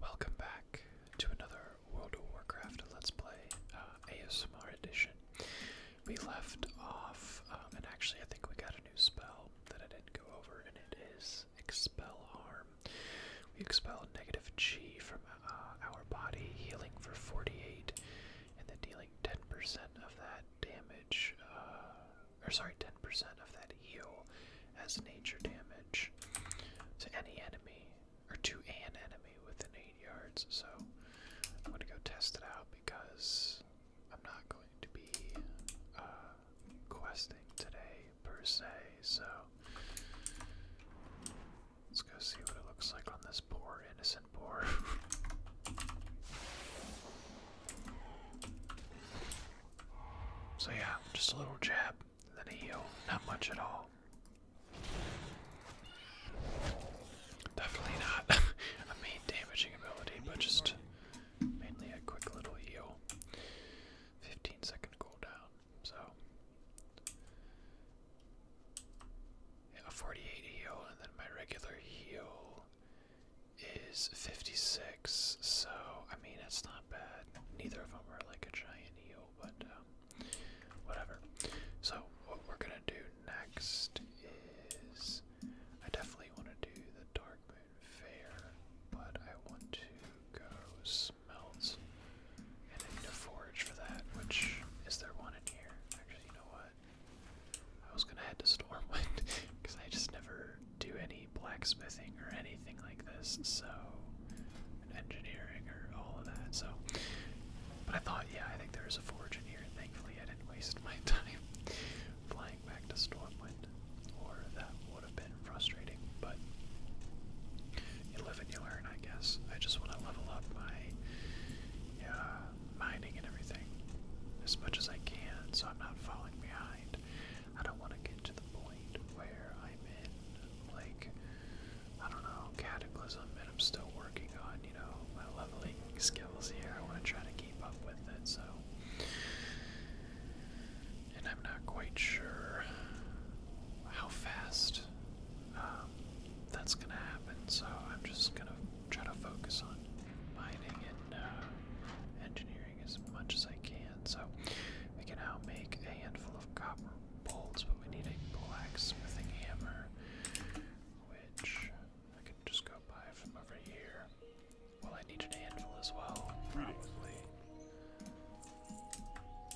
Welcome back to another World of Warcraft Let's Play uh, ASMR Edition. We left off, um, and actually, I think we got a new spell that I didn't go over, and it is Expel Harm. We expel negative G from uh, our body, healing for 48, and then dealing 10% of that damage, uh, or sorry, 10% of that heal as nature damage to any enemy or to an enemy within 8 yards. So I'm going to go test it out because I'm not going to be uh, questing today per se. So let's go see what it looks like on this poor innocent boar. So yeah, just a little jab. Then a heal, not much at all. Definitely not a main damaging ability, but just mainly a quick little heal. 15 second cooldown, so. a 48 heal, and then my regular heal is 56, so I mean, that's not bad neither of them are like a giant eel, but um, whatever. So what we're gonna do next is I definitely want to do the Dark Moon Fair, but I want to go smelt and I need a forage for that. Which is there one in here? Actually, you know what? I was gonna head to Stormwind because I just never do any blacksmithing or anything like this, so engineering or all of that. So, but I thought, yeah, I think there is a forge in here. And thankfully, I didn't waste my time flying back to Stormwind, or that would have been frustrating. But you live and you learn, I guess. I just want to level up my uh, mining and everything as much as I can, so I'm not falling behind. I don't want to get to the point where I'm in, like, I don't know, Cataclysm, and I'm still working on, you know, my leveling skills here. I want to try to keep up with it, so. And I'm not quite sure how fast um, that's going to happen, so I'm just going to try to focus on mining and uh, engineering as much as I can. So we can now make a handful of copper bolts, but we need a blacksmithing hammer, which I can just go buy from over here. Well, I need a handful as well, probably.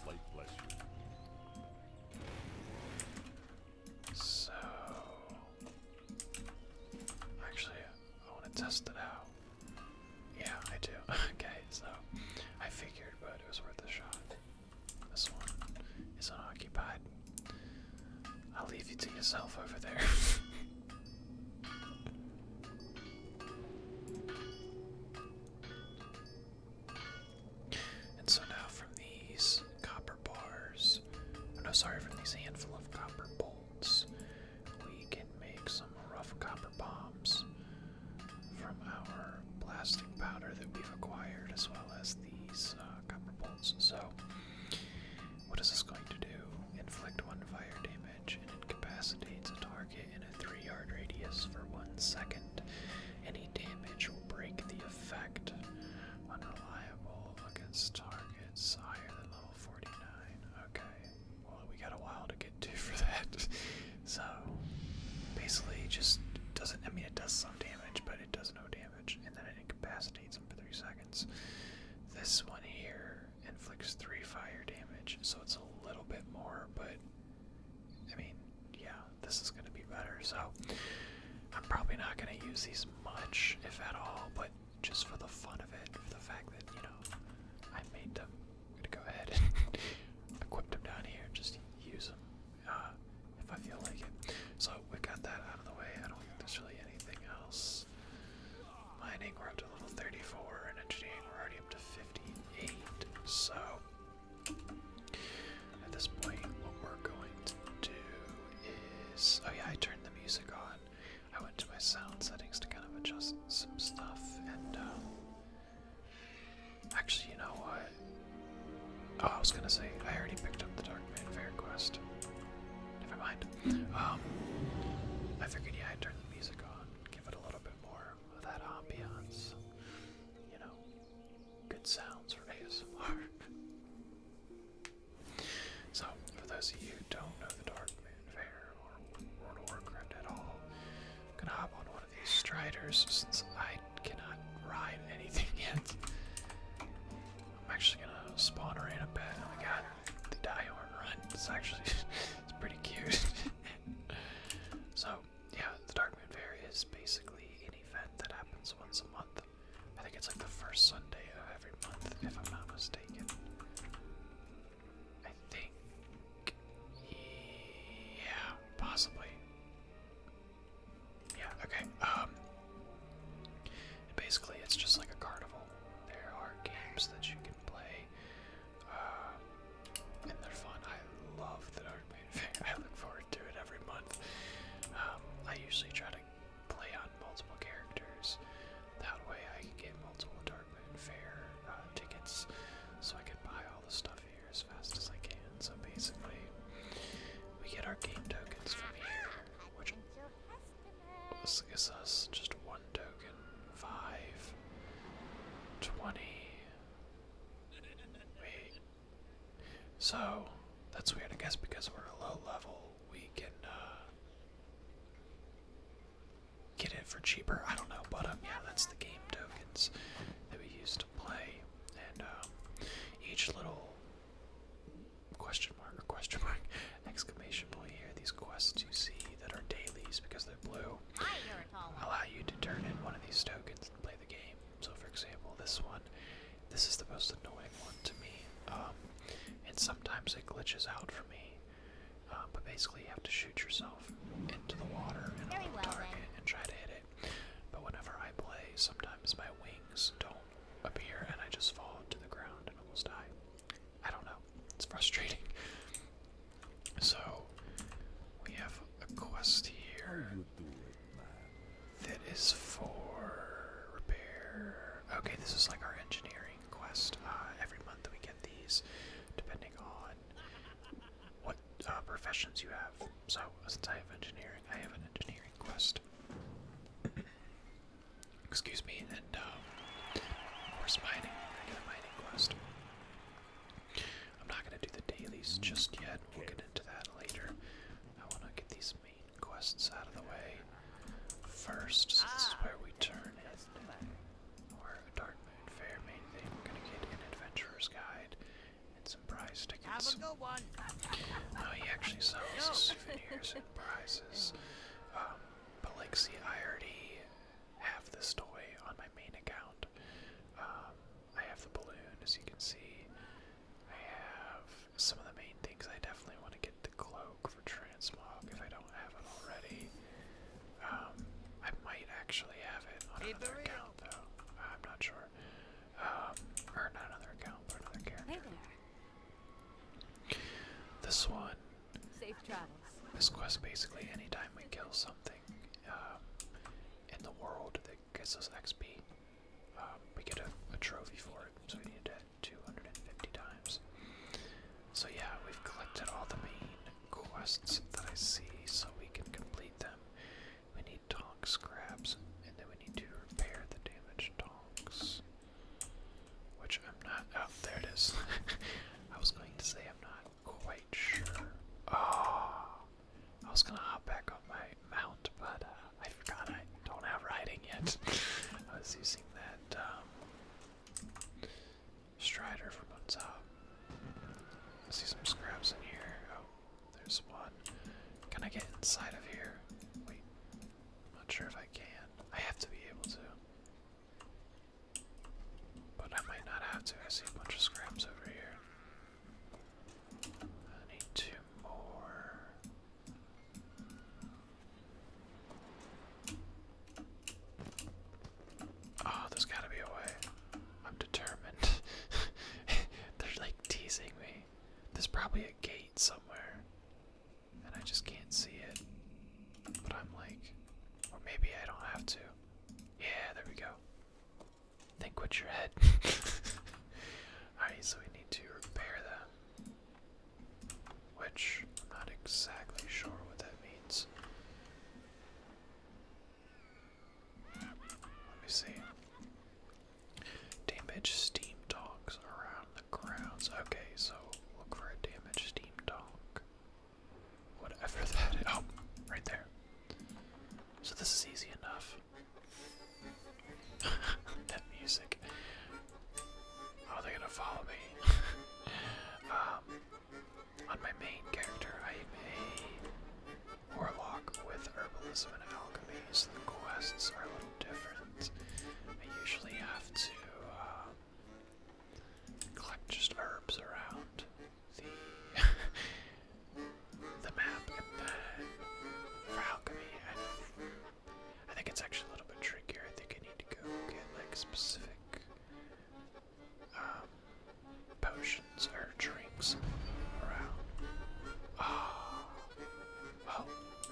Light bless you. So, actually, I want to test it out. Yeah, I do. okay, so I figured, but it was worth a shot. This one is unoccupied. I'll leave you to yourself over there. and so now from these copper bars, oh no, sorry, from these handful of copper bolts, we can make some rough copper bombs from our blasting powder that we've acquired, as well as these uh, copper bolts. So, what is this going to do? Inflict one fire damage and incapacitates a target in a three yard radius for one second. Any damage will break the effect. Unreliable against targets higher than level 49. Okay, well, we got a while to get to for that. so basically, just doesn't. I mean, it does some damage, but it does no damage, and then it incapacitates him for three seconds. This one here inflicts three fire damage, so it's a little bit more, but I mean, yeah, this is gonna be better. So I'm probably not gonna use these much, if at all, but just for the fun of it, for the fact that you know I made them gonna go ahead and equip them down here just use them uh, if I feel like it. So we've got that out of the way. I don't think there's really anything else. Mining, we're up to level 34, and engineering, we're already up to 58. So at this point, what we're going to do is. Oh, yeah, I turned the music on. I went to my sound settings to kind of adjust some stuff, and um, actually, you know what? Oh, I was gonna say I already picked up the Darkman Fair quest. Never mind. Um, I figured yeah, I'd turn the music on, give it a little bit more of that ambiance. You know, good sounds for ASMR. So, for those of you who don't know the Dark Moon Fair, or World of at all. I'm gonna hop on one of these striders since I cannot ride anything yet. I'm actually gonna spawn her in a bit. Oh my god, the Dihorn run. It's actually it's pretty cute. so yeah, the Dark Moon Fair is basically an event that happens once a month. I think it's like the first Sunday of every month, if I'm not mistaken. I think. Yeah, possibly. Yeah, okay. Um. Basically, it's just like a carnival. There are games that you can play, uh, and they're fun. I love the Dark Maiden I look forward to it every month. Um, I usually try to play on multiple characters. That way I can get multiple Dark fair uh, tickets so I can buy all the stuff here as fast as I can. So basically, we get our game tokens from here, which this gives us just one token, five, twenty. Wait. So that's weird. I guess because we're a low level, we can. Uh, get it for cheaper. I don't know, but um, yeah, that's the game tokens that we used to play, and um, each little question mark or question mark exclamation point here. These quests you see that are dailies because they're blue allow you to turn in one of these tokens and play the game. So, for example, this one, this is the most annoying one to me, um, and sometimes it glitches out for me. Uh, but basically, you have to shoot yourself into the water and on the target and try to hit it. But whenever I play, sometimes my wings don't appear and I just fall to the ground and almost die. I don't know. It's frustrating. So we have a quest here that is for repair. Okay, this is like our engineering quest. Uh, every month we get these, depending on what uh, professions you have. So, since I have engineering, I have an engineering quest. Excuse me, and um, horse mining, I got a mining quest. I'm not gonna do the dailies just yet. We'll get into that later. I want to get these main quests out of the way first. So this is where we turn in or a Dark Moon Fair main thing. We're gonna get an adventurer's guide and some prize tickets. Have a good one. Oh, he actually sells souvenirs and prizes. Um, but like, see, I already have this toy on my main account. Um, I have the balloon, as you can see. I have some of the main things. I definitely want to get the glow for transmog if I don't have it already. Um, I might actually have it on another account though. Uh, I'm not sure. Um, or not another account, but another character. Hey there. This one. Safe travels. This quest basically, anytime we kill something um, in the world that gives us XP, we get a, trophy for it. So we need it 250 times. So yeah, we've collected all the main quests that I see so we can complete them. We need tonk scraps, and then we need to repair the damaged tonks. Which I'm not. Oh, there it is. I was going to say I'm not quite sure. Oh, I was gonna hop back on my mount, but uh, I forgot I don't have riding yet. I was using that um, Strider from on top. see some scraps in here. Oh, there's one. Can I get inside of here? Wait, I'm not sure if I can. I have to be able to. But I might not have to. I see a bunch of scraps over here. I need two more. Oh, there's gotta be a way. I'm determined. They're like teasing me. There's probably a gate somewhere, and I just can't see it. But I'm like, or maybe I don't have to. Yeah, there we go. Think with your head. Alright, so we need to repair them which I'm not exactly sure what that means. Let me see. Damage steam dogs around the grounds. Okay, so look for a damaged steam dog. Whatever that is. Oh, right there. So this is easy enough. that music. Oh, they gonna follow me. Um, on my main character, I am warlock with herbalism and alchemy, so the quests are a little different. I usually have to um, collect just herbs around the the map, and then for alchemy, I think it's actually a little bit trickier. I think I need to go get like specific um, potions or drinks around. Ah, oh, well,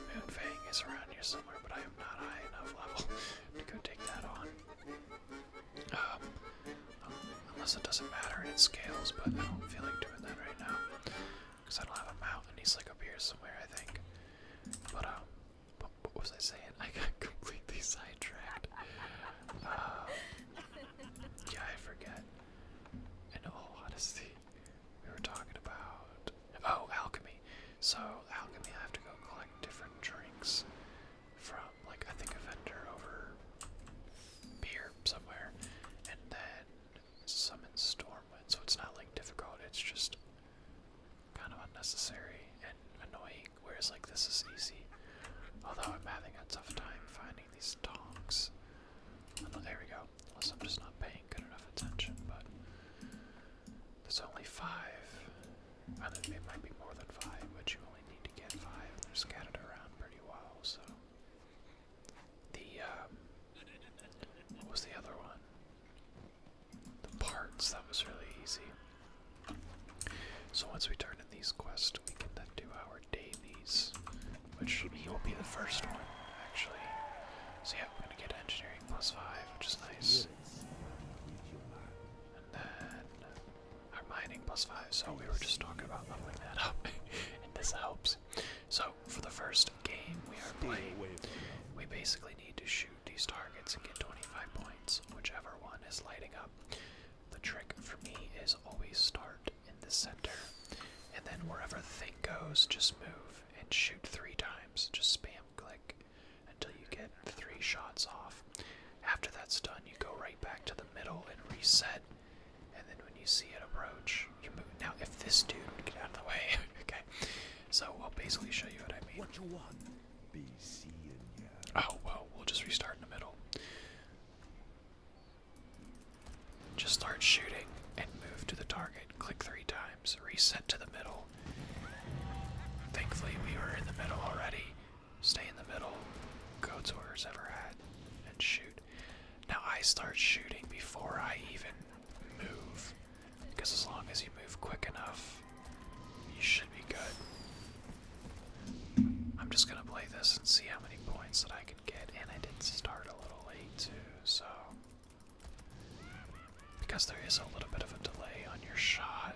Moonfang is around here somewhere, but I am not high enough level to go take that on. Um, unless it doesn't matter and it scales, but I don't feel like doing that right now because I don't have a mountain. He's like up here somewhere, I think. But um, what was I saying? I got completely sidetracked. Uh, yeah, I forget. In all honesty, we were talking about oh alchemy. So alchemy, I have to go collect different drinks from like I think a vendor over here somewhere, and then summon Stormwind. So it's not like difficult. It's just kind of unnecessary and annoying whereas like this is easy. Although I'm having a tough time finding these tongs. there we go. Unless I'm just not paying good enough attention, but there's only five. I it might be more than five, but you only need to get five. They're scattered around pretty well, so the um, what was the other one? the parts. That was really easy. So once we turn in these quests, we can then do our dailies, which he will be the first one, actually. So yeah, we're gonna get engineering plus five, which is nice. And then our mining plus five. So we were just talking about leveling that up, and this helps. So for the first game we are playing, we basically need to shoot these targets and get 25 points, whichever one is lighting up. The trick for me is always start in the center, and then wherever the thing goes, just move and shoot three times. Just spam click until you get three shots off. After that's done, you go right back to the middle and reset. And then when you see it approach, you move. Now, if this dude would get out of the way, okay. So I'll basically show you what I mean. What you want? Oh well, we'll just restart in the middle. Just start shooting and move to the target. Click three times. Reset to the middle. Thankfully, we were in the middle already. Stay in the middle. Go to where ever had and shoot. Now I start shooting before I even move. Because as long as you move quick enough, you should be good. I'm just gonna play this and see how many points that I can get, and I did start a little late too, so. Because there is a little bit of a delay on your shot,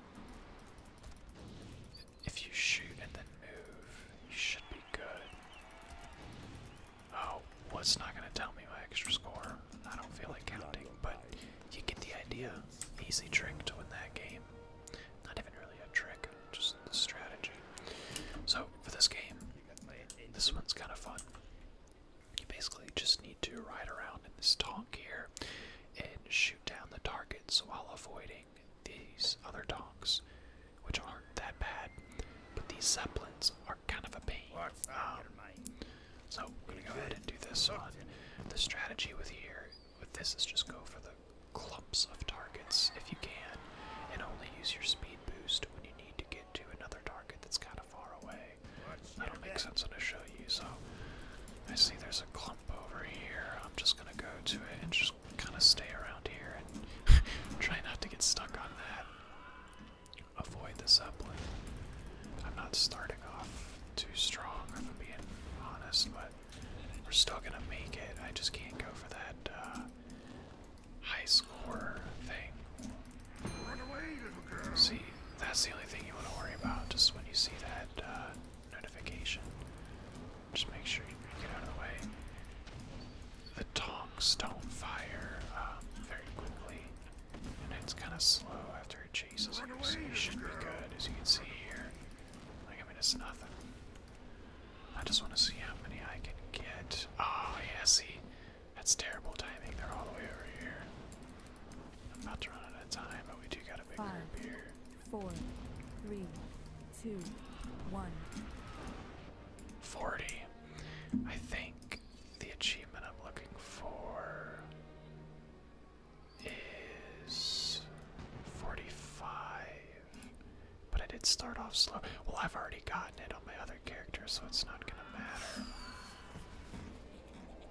if you shoot and then move, you should be good. Oh, well, it's not gonna tell me my extra score. I don't feel like counting, but you get the idea. Easy trick to win that game. Not even really a trick, just strategy. So for this game, this one's kind of fun. You basically just need to ride around in this tank here and shoot down the targets while avoiding these other tanks, which aren't that bad. But these zeppelins are kind of a pain. So I'm gonna go ahead and do this one. The strategy with here with this is just go for the clumps of targets if you can, and only use your speed boost when you need to get to another target that's kind of far away. That'll make sense when I show you. So I see there's a clump over here. I'm just gonna go to it and just kind of stay around here and try not to get stuck on that. Avoid the zeppelin. I'm not starting off too strong, I'm being honest, but we're still gonna make it. I just can't go for that uh, high score thing. See, that's the only thing you want to worry about, just when you see that uh, notification. Just make sure you get out of the way. The tongs don't fire um, very quickly, and it's kind of slow after it so you should be good, as you can see here. I mean, it's nothing. I just want to see how many I can get. Oh, yeah, see? That's terrible timing. They're all the way over here. I'm about to run out of time, but we do got a big Five, group here. Four, three, two, one. 40. I think the achievement I'm looking for is 45. But I did start off slow. Well, I've already gotten it on my other character, so it's not gonna matter.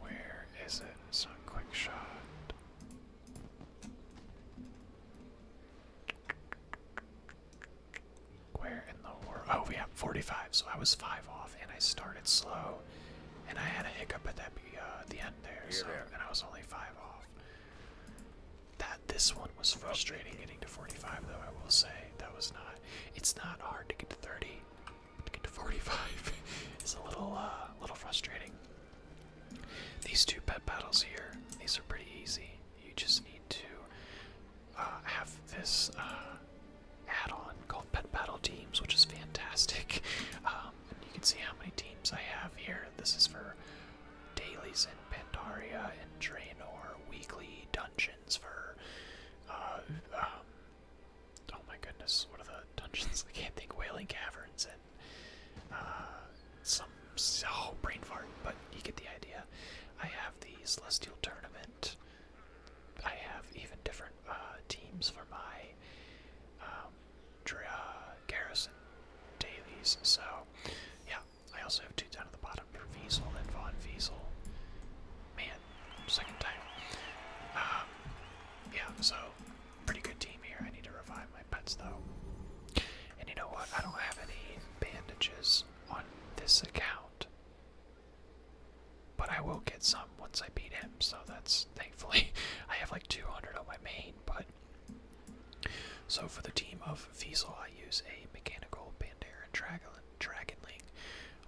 Where is it? It's quick shot. Where in the world? Oh, yeah, 45, so I was 5 off and I started slow, and I had a hiccup at uh, the end there, so, and I was only five off. That this one was frustrating getting to 45, though I will say that was not. It's not hard to get to 30. To get to 45 is a little, uh, little frustrating. These two pet battles here, these are pretty easy. You just need to uh, have this uh, add-on called Pet Battle Teams, which is fantastic. Um, you can see how many teams I have here. This is for dailies in Pandaria and Draenor, weekly dungeons for. Uh, um, oh my goodness, what are the dungeons? I can't think. Wailing Caverns and uh, some. Oh, brain fart, but you get the idea. I have the Celestial Tournament. I have even different uh, teams for my um, uh, garrison dailies. So, yeah, I also have two down at the bottom for Viesel and Von Viesel. Man, second time. Um, yeah, so pretty good team here. I need to revive my pets though. And you know what? I don't have any bandages on this account. But I will get some once I beat him, so that's thankfully I have like 200 on my main. But so for the team of Fiesel, I use a mechanical Pandaren Dragon Dragonling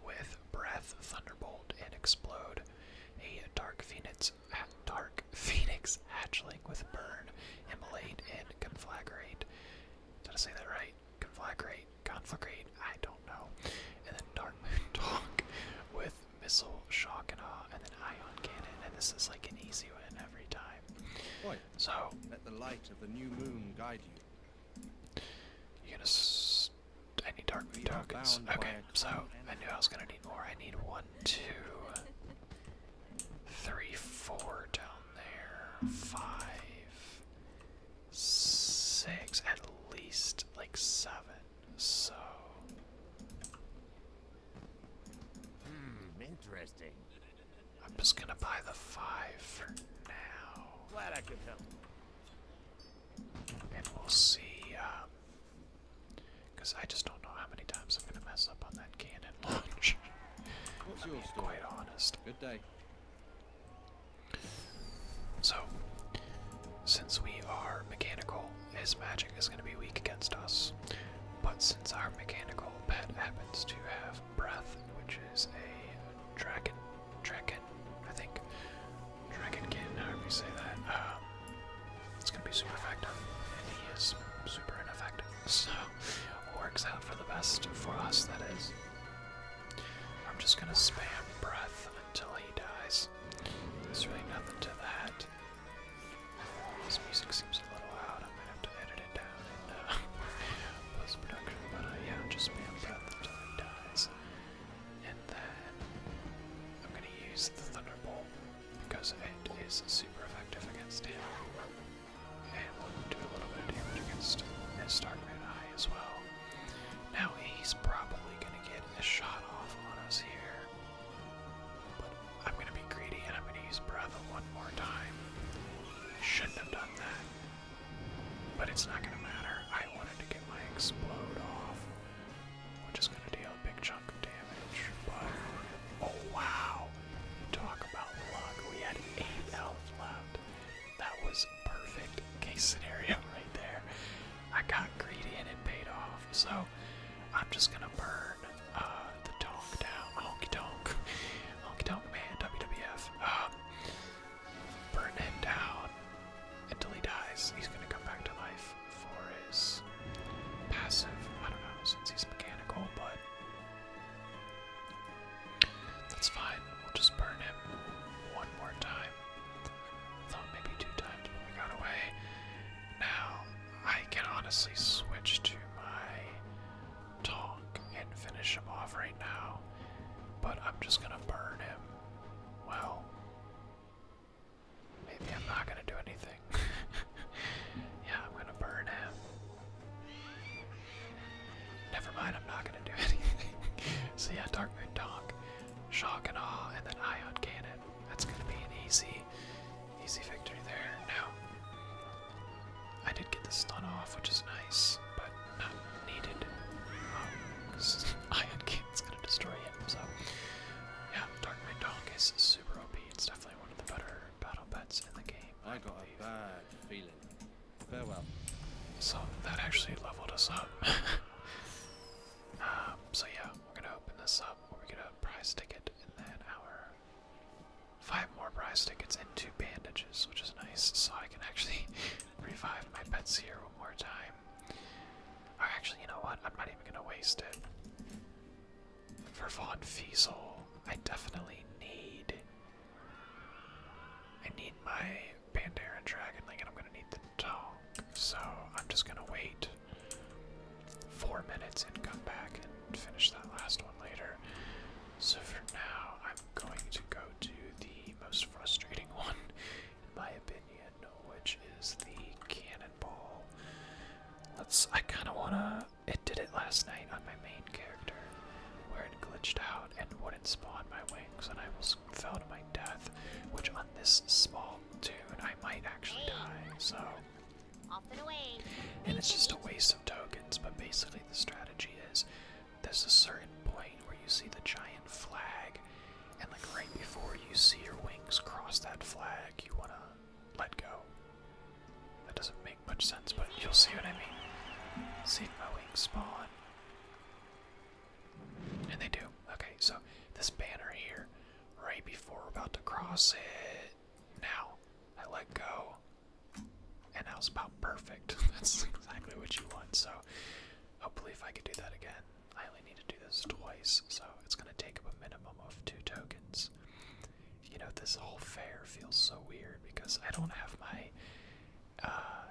with Breath, Thunderbolt, and Explode, a Dark Phoenix, Dark Phoenix Hatchling with Burn, Immolate, and Conflagrate. Did I say that right? Conflagrate conflagrate, I don't know. And then Dark Moon Talk with Missile, Shock and Awe, and then Ion Cannon, and this is like an easy win every time. so let the light of the new moon guide you. You're gonna s any Dark Moon tokens. Okay, so I knew I was gonna need more. I need one, two, three, four down there, five, six, at least like seven so. Hmm, interesting. I'm just gonna buy the five for now. Glad I could help. And we'll see, um, because I just don't know how many times I'm gonna mess up on that cannon launch. What's I'm quite honest. Good day. So, since we are mechanical, his magic is going to be weak against us. But since our mechanical pet happens to have breath, which is a dragon, dragon, I think, dragonkin, Hear me say that, um, it's going to be super effective, and he is super ineffective. So, works out for the best for us. That is. I'm just gonna spam breath until he dies. There's really nothing to that. This music seems a little loud. I am gonna have to edit it down and uh, post production, but uh, yeah, just spam breath until he dies. And then I'm gonna use the Thunderbolt because it is super effective against him. And will do a little bit of damage against his Dark Red Eye as well. Now he's probably gonna get a shot off on us here. But I'm gonna be greedy and I'm gonna use Breath one more time. Shouldn't have done that. But it's not gonna matter. I wanted to get my explode off. We're just gonna deal a big chunk of damage. But oh wow! Talk about luck. We had eight health left. That was perfect case scenario right there. I got greedy and it paid off, so I'm just gonna burn uh, the Tonk down. Honky Tonk. Honky Tonk Man, WWF. Uh, burn him down until he dies. He's gonna come back to life for his passive. I don't know, since he's mechanical, but. That's fine. We'll just burn him one more time. Thought maybe two times, but we got away. Now I can honestly switch to my Tonk and finish him off right now, but I'm just gonna burn him. Well, maybe I'm not gonna do anything. yeah, I'm gonna burn him. Never mind, I'm not gonna do anything. so yeah, Dark Moon Tonk. Shock and Awe, and then Ion Cannon. That's gonna be an easy, easy victory there. Now, I did get the stun off, which is nice, but not needed. Um, Ion Cannon's gonna destroy him, so. Yeah, Dark Knight Donk is super OP. It's definitely one of the better battle bets in the game. I, got a bad feeling. Farewell. So that actually leveled us up. Um, so yeah, we're gonna open this up. We get a prize ticket, and then our five more prize tickets and two bandages, which is nice. So I can actually revive my pets here one more time. Or actually, you know what? I'm not even gonna waste it. For Von Fiesel, I definitely need. I need my Pandaren Dragonling, and I'm gonna need the talk. So I'm just gonna wait four minutes and come back and finish that last one later. So for now, I'm going to go to the most frustrating one, in my opinion, which is the cannonball. Let's. I kind of wanna. It did it last night on my main character, where it glitched out and wouldn't spawn my wings, and I was fell to my death, which on this small tune I might actually die, so. And it's just a waste of tokens, but basically the strategy is there's a certain point where you see the giant flag, and like right before you see your wings cross that flag, you wanna let go. That doesn't make much sense, but you'll see what I mean. See if my wings spawn. And they do. Okay, so this banner here, right before we're about to cross it. Now, I let go. And that was about perfect. That's exactly what you want. So, hopefully, if I could do that again, I only need to do this twice. So, it's going to take up a minimum of two tokens. You know, this whole fair feels so weird because I don't have my uh,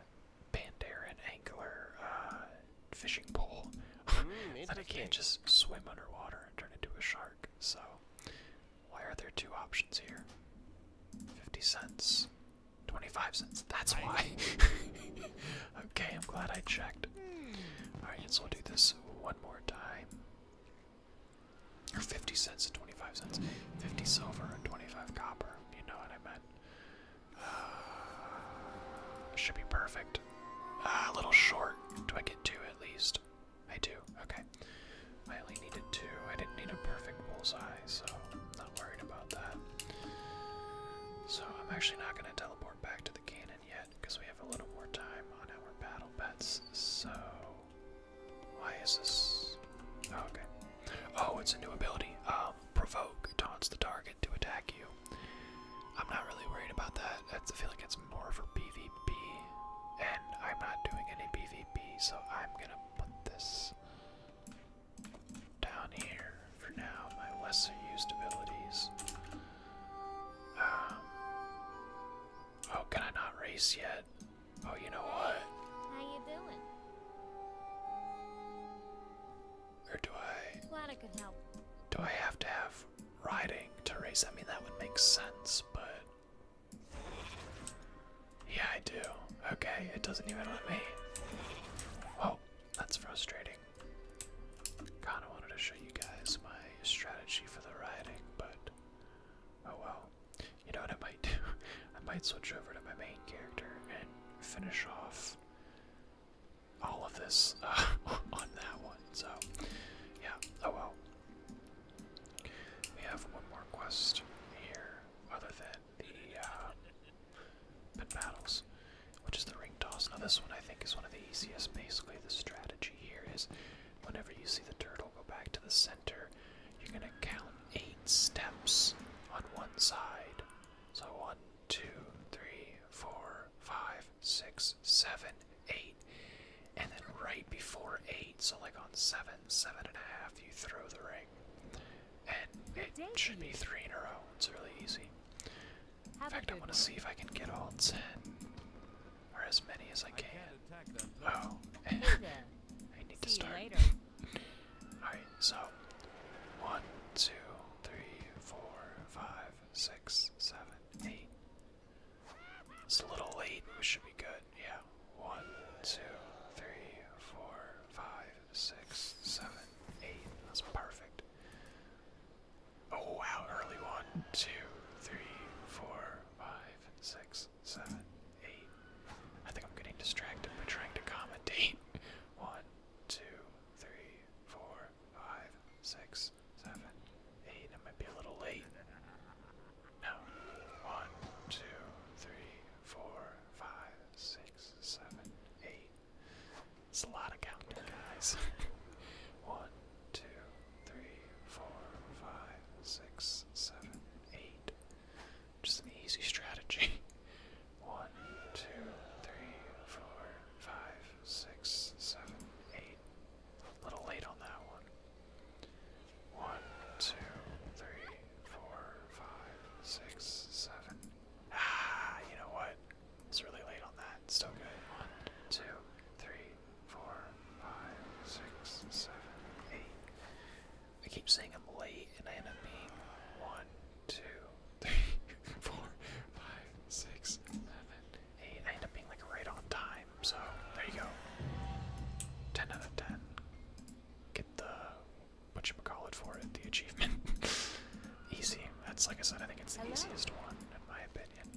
Pandaren angler uh, fishing pole. but hmm, I can't just swim underwater and turn into a shark. So, why are there two options here? 50 cents, 25 cents. That's why. okay, I'm glad I checked. Hmm. Alright, so we'll do this one more time. Or 50 cents and 25 cents. 50 silver and 25 copper. You know what I meant should be perfect. Ah, a little short. Do I get two at least? I do. Okay. I only needed two. I didn't need a perfect bullseye, so not worried about that. So I'm actually not going to teleport back to the cannon yet because we have a little more time on our battle bets. So why is this? Oh, okay. Oh, it's a new ability. Um, um, provoke taunts the target to attack you. I'm not really worried about that. That's, I feel like it's more for PvP, and I'm not doing any PvP, so I'm gonna put this down here for now. My lesser used abilities. Um, oh, can I not race yet? Oh, you know what? How you doing? Or do I. Glad I could help. Do I have to have riding to race? I mean, that would make sense, but. Yeah, I do. Okay, it doesn't even let me. Whoa, that's frustrating. Kinda wanted to show you guys my strategy for the riding, but. Oh well. You know what I might do? I might switch over to my main character and finish off all of this uh, on that one. So, yeah. Oh well. We have one more quest here, other than the uh, battles, which is the ring toss. Now, this one I think is one of the easiest. Basically, the strategy here is whenever you see the turtle go back to the center, you're going to count eight steps on one side so one, two, three, four, five, six, seven, eight. And then right before eight, so like on seven, seven and a half, you throw the ring. And it should be three in a row. It's really easy. In fact, I want to see if I can get all ten. Or as many as I can. Oh. I need to start. Alright, so one, two, three, four, five, six, seven, eight. It's a little late, we should be good. Yeah. One, two, three, four, five, six, seven, eight. That's perfect. Oh wow, early one, two, three, four, five, six, seven, eight. I think I'm getting distracted by trying to commentate. One, two, three, four, five, six, seven, eight. I might be a little late. No. One, two, three, four, five, six, seven, eight. It's a lot of counting, guys. One, two, three, four, five, six, seven, eight. Just an easy strategy. One, two, three, four, five, six, seven, eight. A little late on that one. One, two, three, four, five, six, seven. Ah, you know what? It's really late on that. It's still good. One, two, three, four, five, six, seven, eight. I keep saying I'm late, and I end up being one, two, three, four, five, six, seven, eight. I end up being like right on time. So there you go. Ten out of ten. Get the what you call for it, the achievement. Easy. That's like I said. I think it's the easiest one in my opinion.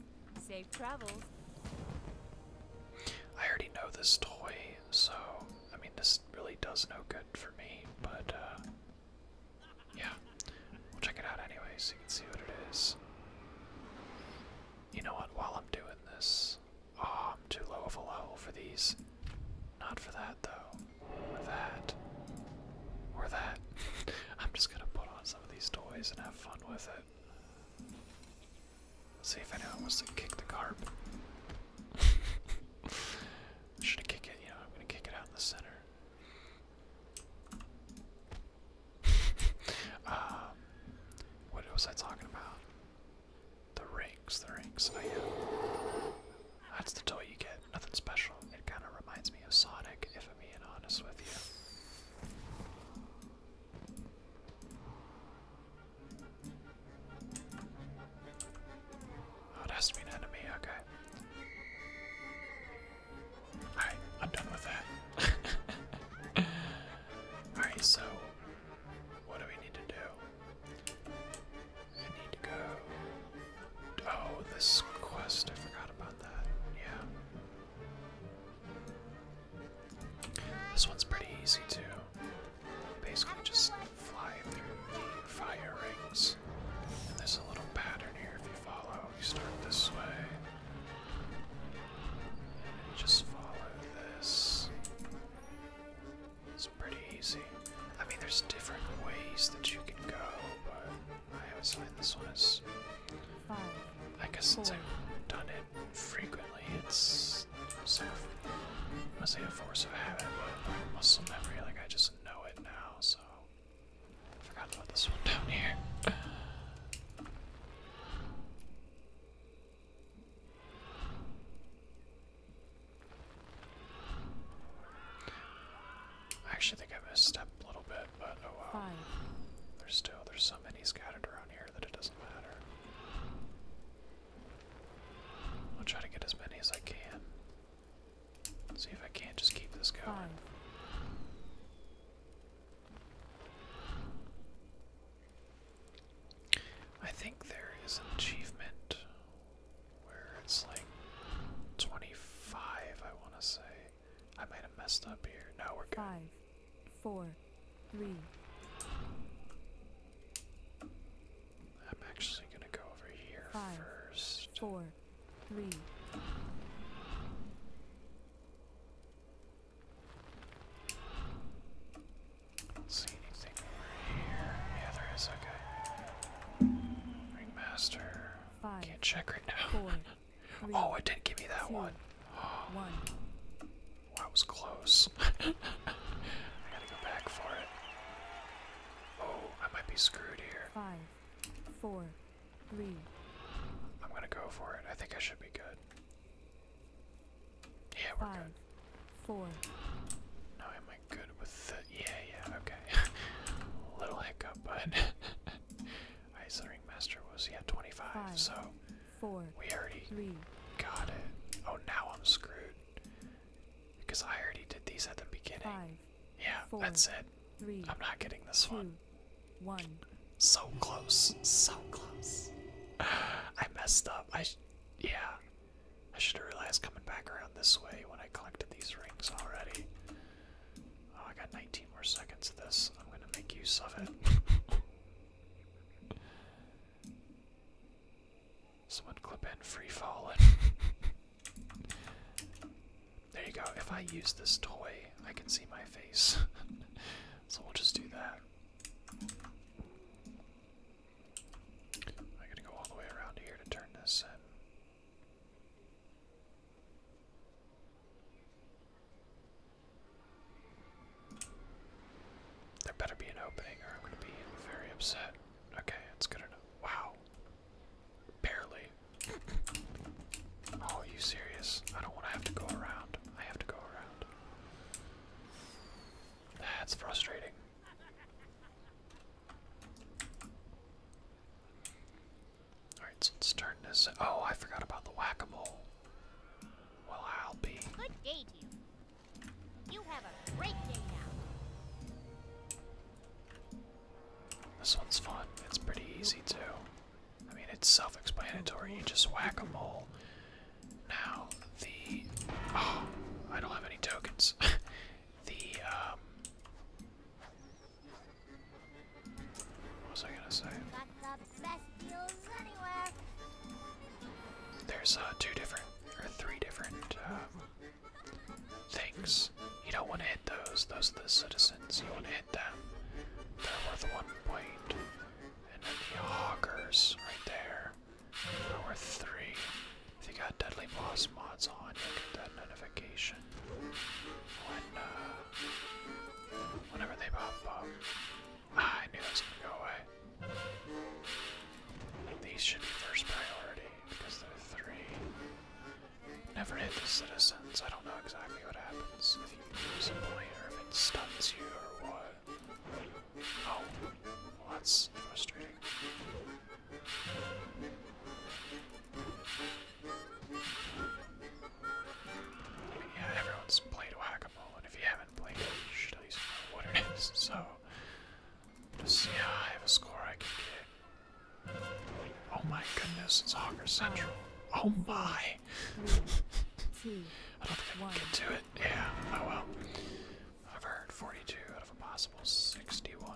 Safe travels. I already know this toy, so I mean this really does no good for me, but uh, yeah. We'll check it out anyway so you can see what it is. You know what, while I'm doing this, oh, I'm too low of a level for these. Not for that though, or that, or that. I'm just gonna put on some of these toys and have fun with it. Let's see if anyone wants to kick the carp. Should I kick it? You know, I'm gonna kick it out in the center. um, what was I talking about? The rings, the rings. Oh yeah, that's the toy you get. Nothing special. It kind of reminds me of Sonic, if I'm being honest with you. Oh, it has to be an enemy, okay. Alright, I'm done with that. Alright, so what do we need to do? need to go. Oh, this quest, I forgot about that. Yeah. This one's pretty easy too. Basically, just fly through the fire rings. And there's a little pattern here if you follow. You start this way. just follow this. It's pretty easy. I mean, there's different ways that you can go, but I always find this one is. Five, I guess since i I've done it frequently, it's sort of must be a force of habit, but muscle memory, like I just know it now, so forgot about this one down here. I actually think I missed step a little bit, but oh wow. There's still there's so many scattered around here that it doesn't matter. I'll try to get as many as I can. see if I can't just keep this going. I think there is an achievement where it's like 25, I want to say. I might have messed up here. No, we're good. Five, four, three. I'm actually gonna go over here 1st first. Four, three. Don't see anything over here. Yeah, there is. Okay. Ringmaster. Five, Can't check right now. Four, three, oh, it did give me that one. One. Well, was close. I gotta go back for it. Oh, I might be screwed here. Five, four, three. I'm gonna go for it. I think I should be good. Yeah, we're Five, Four. Now am I good with yeah, yeah, okay. Little hiccup, but Ice Ring Master was yeah, 25, so four, we already got it. Oh now I'm screwed. Because I already did these at the beginning. yeah, that's it. i I'm not getting this one. One. So close. So close. I messed up. I yeah. I should have realized coming back around this way when I collected these rings already. Oh, I got 19 more seconds of this. I'm gonna make use of it. Someone clip in free falling. there you go. If I use this toy, I can see my face. so we'll just do that. I'm to go all the way around here to turn this There better be an opening, or I'm going to be very upset. Okay, it's good enough. Wow. Barely. Oh, you serious? I don't want to have to go around. I have to go around. That's frustrating. Alright, so let's turn Oh, I forgot about the whack a mole. Well, I'll be. Good day to you. This one's fun. It's pretty easy too. I mean, it's self-explanatory. You just whack a mole. Now the oh, I don't have any tokens. the um, what was I gonna say? There's uh, two different or three different uh, things. You don't want to hit those. Those are the citizens. You want to hit them. They're worth one point. And then the hoggers right there. They're worth three. If you got deadly boss mods on, you'll get that notification. Uh, whenever they pop up. Ah, I knew that was gonna go away. These should be first priority because they're three. Never hit the citizens. I don't know exactly what happens if you lose a point if it stuns you or what. Oh, well, that's frustrating. Yeah, everyone's played whack-a-mole, and if you haven't played it, you should at least know what it is. So just see how high of a score I can get. Oh my goodness, it's Hawker Central. Oh my! I don't think I can get to it. Yeah, I oh will. I've earned 42 out of a possible 61.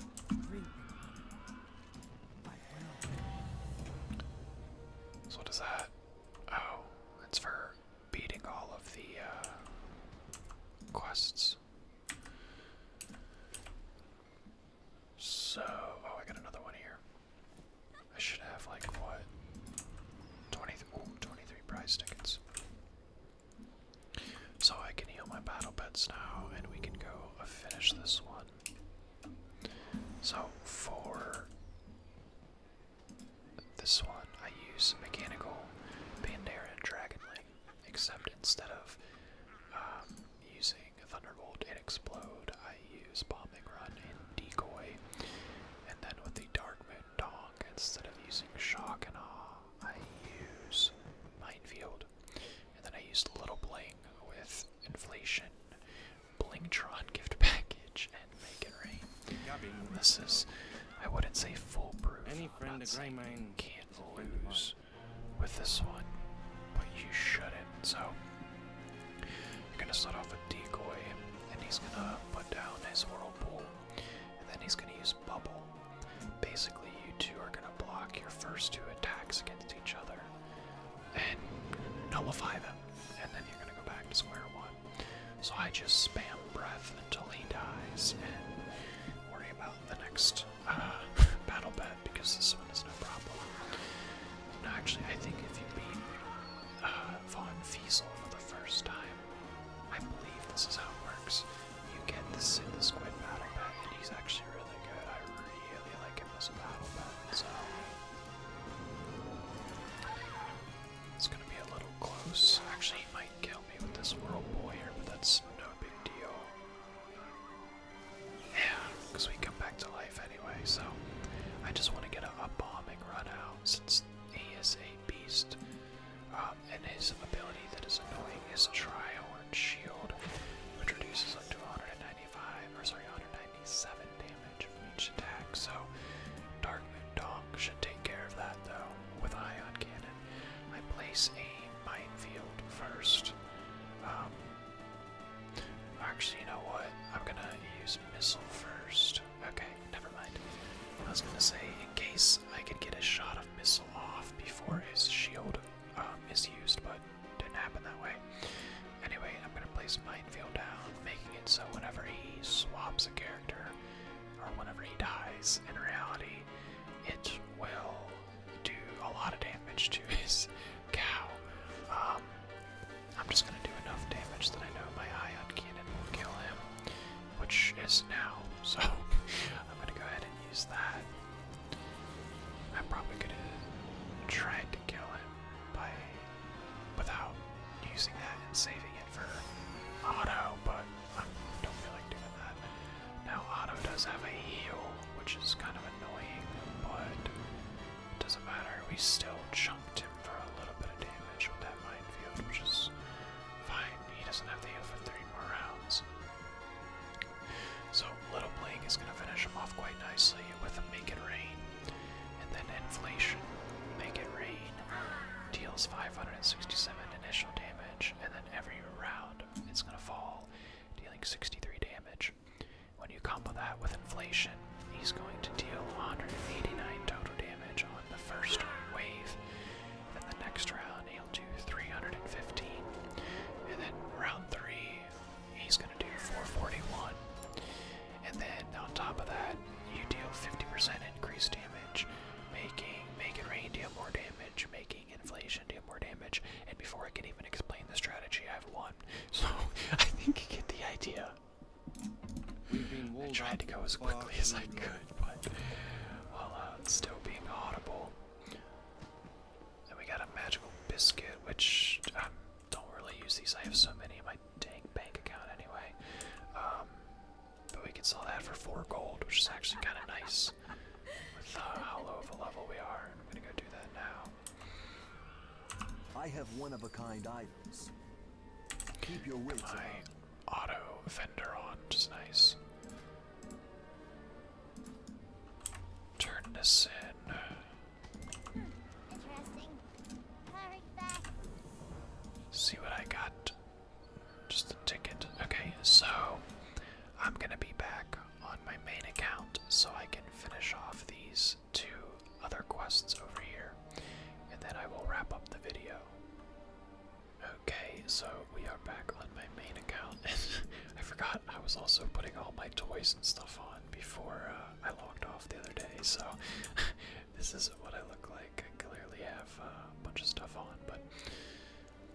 what is that? Oh, it's for beating all of the uh, quests. So, oh, I got another one here. I should have, like, what? 20, prize tickets. So I can heal my battle pets now, and we can go finish this one. So, for this one, I use Mechanical, Pandaren, Dragon Link. Except instead of um, using Thunderbolt and Explode, I use Bombing Run and Decoy. And then with the Dark Moon Dong, instead of using Shock and Awe, I use Minefield. And then I use Little Bling with Inflation, Blingtron Gift Package, and Make It Rain. This is, I wouldn't say full foolproof, friend of Grey can't lose with this one, but you shouldn't. So you're gonna start off with decoy, and he's gonna put down his whirlpool, and then he's gonna use bubble. Basically, you two are gonna block your first two attacks against each other and nullify them, and then you're gonna go back to square one. So I just spam breath until he dies and worry about the next uh, battle bed because this one is no problem. actually, I think if you beat uh, Von Fiesel for the first time, I believe this is how it works. You get this in the squid battle pet, and he's actually really good. I really like him as a battle pet, so. It's gonna be a little close. Actually, he might kill with this world boy here, but that's no big deal. Yeah, because we come back to life anyway, so I just want to get a, bombing run out since he is a beast. Uh, and his ability that is annoying is trial Triorn Shield, which reduces like 295 or sorry, 197 damage from each attack. So Dark Moon Donk should take care of that though with Ion Cannon. I place a minefield first. Um, actually, you know what? I'm gonna use missile first. Okay, never mind. I was gonna say, in case I can get a shot of missile off before his shield um, uh, is used, but didn't happen that way. Anyway, I'm gonna place minefield down, making it so whenever he swaps a character, or whenever he dies, in reality, it will do a lot of damage to his cow. Um, I'm just gonna do enough damage that I know my ion cannon will kill him, which is now. So I'm gonna go ahead and use that. i probably going try to kill him by without using that and saving it for Otto, but I don't feel like doing that. Now Otto does have a heal, which is kind of annoying, but doesn't matter. We still chunked him for a little bit of damage with that field, which is fine. He doesn't have the heal for three more rounds. So Little Blake is going to finish him off quite nicely with a Make It Rain, and then Inflation, Make It Rain, deals 567 initial damage and then every round it's gonna fall, dealing 63 damage. When you combo that with inflation, he's going to deal 189 total damage on the first wave. Then the next round he'll do 315. And then round three, he's gonna do 441. And then on top of that, you deal 50% increased damage making make it rain deal more damage, making inflation deal more damage, and before I can even explain the strategy, I've won. So I think you get the idea. I tried to go as quickly as I could, but while well, uh, still being audible. Then we got a magical biscuit, which I don't really use these. I have so many in my dang bank account anyway. Um, but we can sell that for four gold, which is actually kind of nice with uh, how low of a level we are. I'm gonna go do that now. I have one of a kind items. Keep your wits My auto vendor on, which nice. Turn this in. See what I got. Just a ticket. Okay, so I'm gonna be back on my main account so I can finish off these two other quests over here, and then I will wrap up the video. Okay, so we are back on my main account. I forgot I was also putting all my toys and stuff on before uh, I logged off the other day, so This is what I look like. I clearly have a bunch of stuff on, but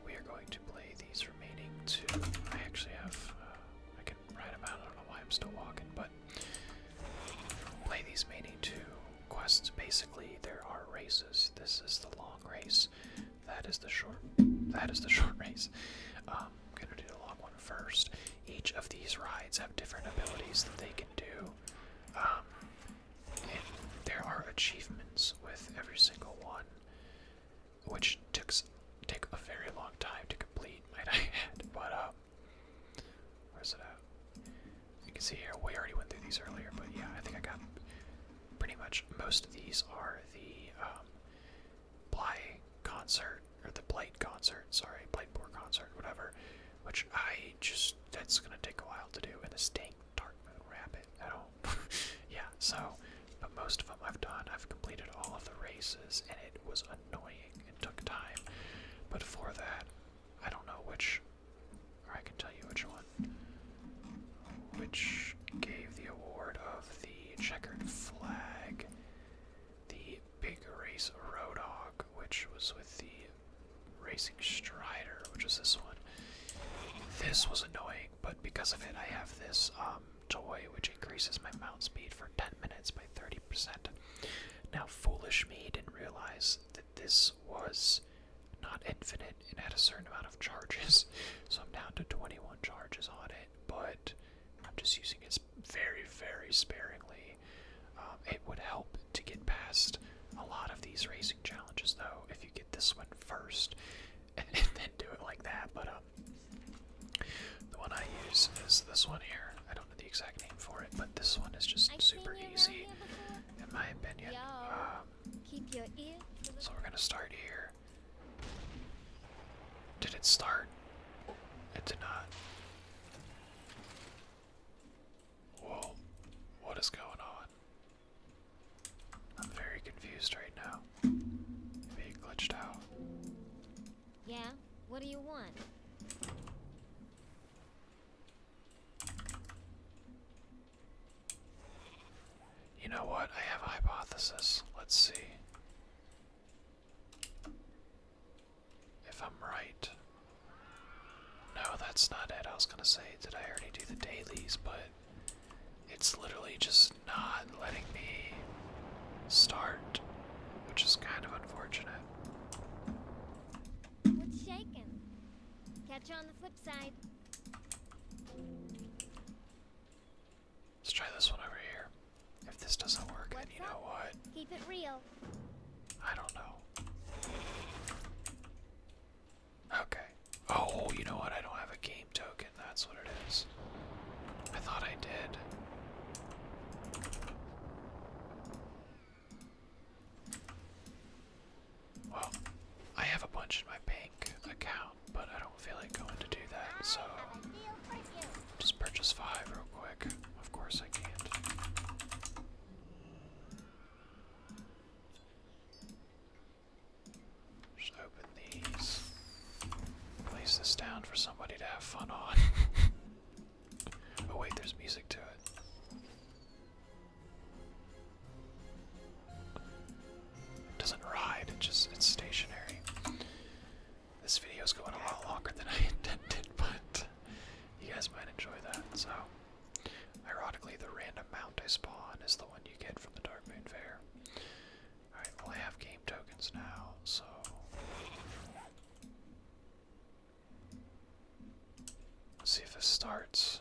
we are going to play these remaining two. I actually have. Uh, I can write them out. I don't know why I'm still walking, but play these remaining two quests. Basically, there are races. This is the long race. That is the short. That is the short race. I'm um, gonna do the long one first. Each of these rides have different abilities that they can do. Um, there are achievements with every single one, which takes take a very long time to complete, might I add. But uh, where's it at? You can see here we already went through these earlier, but yeah, I think I got pretty much most of these are the um, concert or the Blight concert, sorry, Blightboard concert, whatever which I just that's gonna take a while to do. And this dang dark moon rabbit, I don't. yeah, so but most of them I've done. I've completed all of the races, and it was annoying It took time. But for that, I don't know which, or I can tell you which one, which gave the award of the checkered flag. The big race Rodog, which was with the Racing Strider, which is this one. This was annoying, but because of it, I have this um, toy which increases my mount speed for 10 minutes by 30%. Now, foolish me didn't realize that this was not infinite and had a certain amount of charges, so I'm down to 21 charges on it, but I'm just using it very, very sparingly. Um, it would help to get past a lot of these racing challenges, though, if you get this one first and, then do it like that. But um, the one I use is this one here. I don't know the exact name for it, but this one is just super easy, in my opinion. Um, so we're gonna start here. Did it start? It did not. Whoa, what is going on? I'm very confused right now. Maybe glitched out. Yeah, what do you want? You know what? I have a hypothesis. Let's see. If I'm right, no, that's not it. I was gonna say, did I already do the dailies? But it's literally just not letting me start, which is kind of unfortunate. What's shaking? Catch you on the flip side. Let's try this one over here. If this doesn't work, then you know what? Keep it real. I don't know. Okay. Oh, you know what? I don't have a game token. That's what it is. I thought I did. Well, I have a bunch in my bank account, but I don't feel like going to do that, so just purchase five real quick. Of course I can't. Just open these. Place this down for somebody to have fun on. oh, wait, there's music to it. It doesn't ride, it just it's stationary. This video is going a lot longer than I intended, but you guys might enjoy that, so Ironically, the random mount I spawn is the one you get from the Dark Moon Fair. Alright, well, I have game tokens now, so. Let's see if this starts.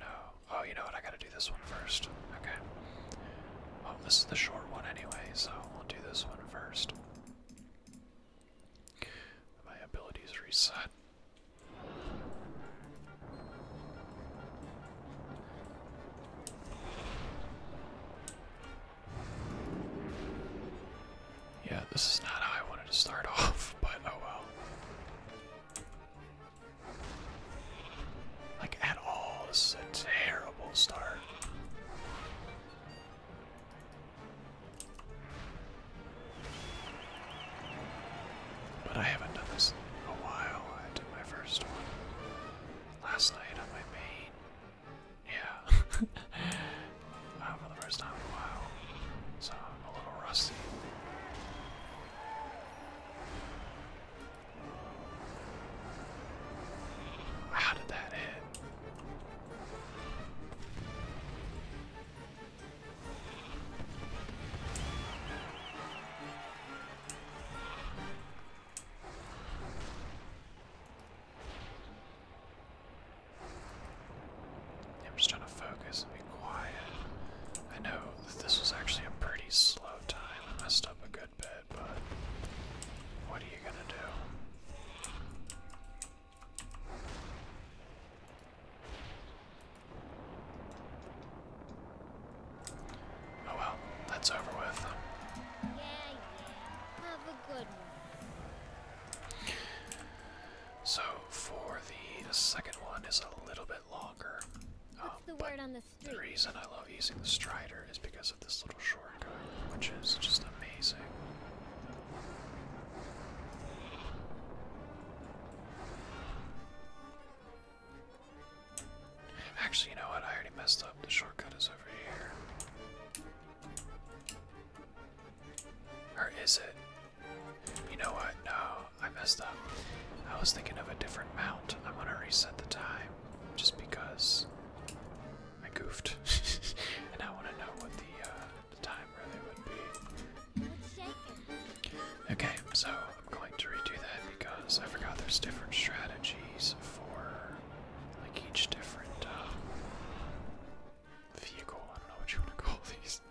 No. Oh, you know what? I gotta do this one first. Okay. Well, this is the short one anyway, so we'll do this one first. My abilities reset. Yeah, this is not how I wanted to start off, but oh well. Like, at all, this is a terrible start. But I haven't done this in a while. I did my first one last night on my main. Yeah. Uh, for the first time in a while. So I'm a little rusty. How did that hit? I'm just trying to focus and be quiet. I know that this was actually a pretty slow time. I messed up a good bit, but what are you gonna do? Oh well, that's over with. So for the second one is a little bit longer. What's um, The reason I love using the Strider is because of this little shortcut, which is just amazing. Actually, you know what? I already messed up. The shortcut is over here. Or is it? You know what? No, I messed up. I was thinking of a different mount. I'm gonna reset the time just because I goofed, and I want to know what the uh, Okay, so I'm going to redo that because I forgot there's different strategies for like each different uh, vehicle. I don't know what you want to call these.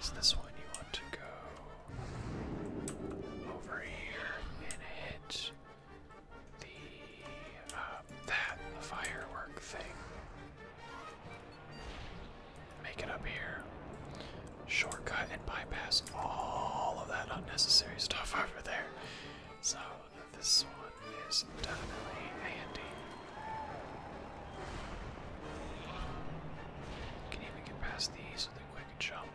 So this one you want to go over here and hit the uh, that the firework thing. Make it up here. Shortcut and bypass all of that unnecessary stuff over there. So this one is definitely handy. Can even get past these with a quick jump.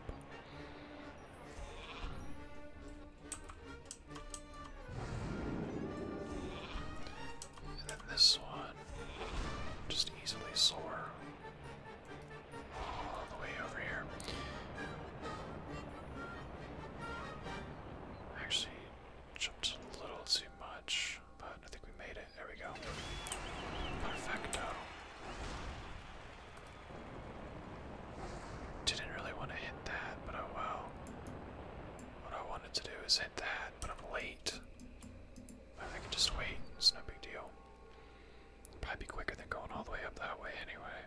And then this one, just easily soar all the way over here. Actually, jumped a little too much, but I think we made it. There we go. Perfecto. Didn't really want to hit that, but oh well. What I wanted to do is hit that, but I'm late. I can just wait, it's no big deal. It'll probably be quicker than going all the way up that way anyway.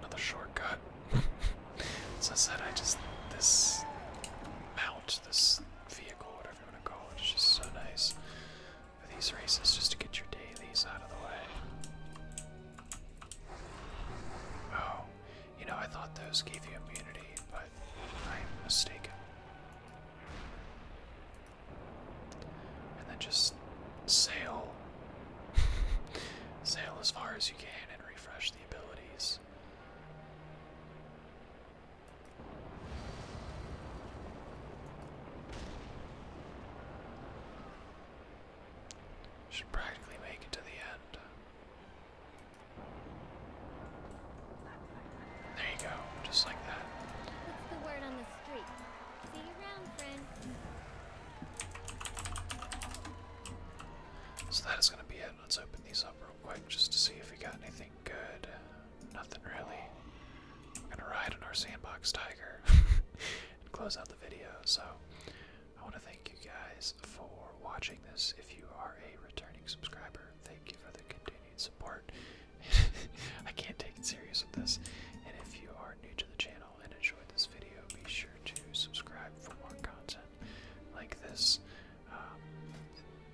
Another shortcut. As said, I just this mount, this vehicle, whatever you want to call it, is just so nice for these races just to get your dailies out of the way. Oh, you know, I thought those gave you immunity, but I am mistaken. And then just sail. sail as far as you can and refresh the abilities. Should practically make it to the end. There you go, just like that. So that is going to be it. Let's open these up real quick just to see if we got anything good. Nothing really. I'm going to ride on our sandbox tiger and close out the video. So I want to thank you guys for watching this. If you are a returning subscriber, thank you for the continued support. I can't take it serious with this. And if you are new to the channel and enjoyed this video, be sure to subscribe for more content like this. Um,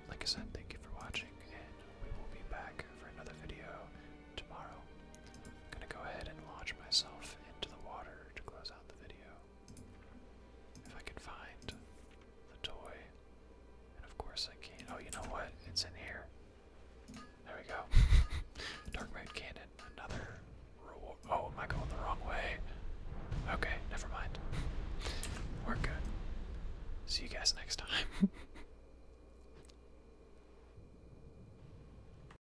like I said, thank you for watching, and we will be back for another video tomorrow. I'm gonna go ahead and launch myself into the water to close out the video. If I can find the toy. And of course I can. not Oh, you know what? It's in here. There we go. Dark Mode Cannon. Another reward. Oh, am I going the wrong way? Okay, never mind. We're good. See you guys next time.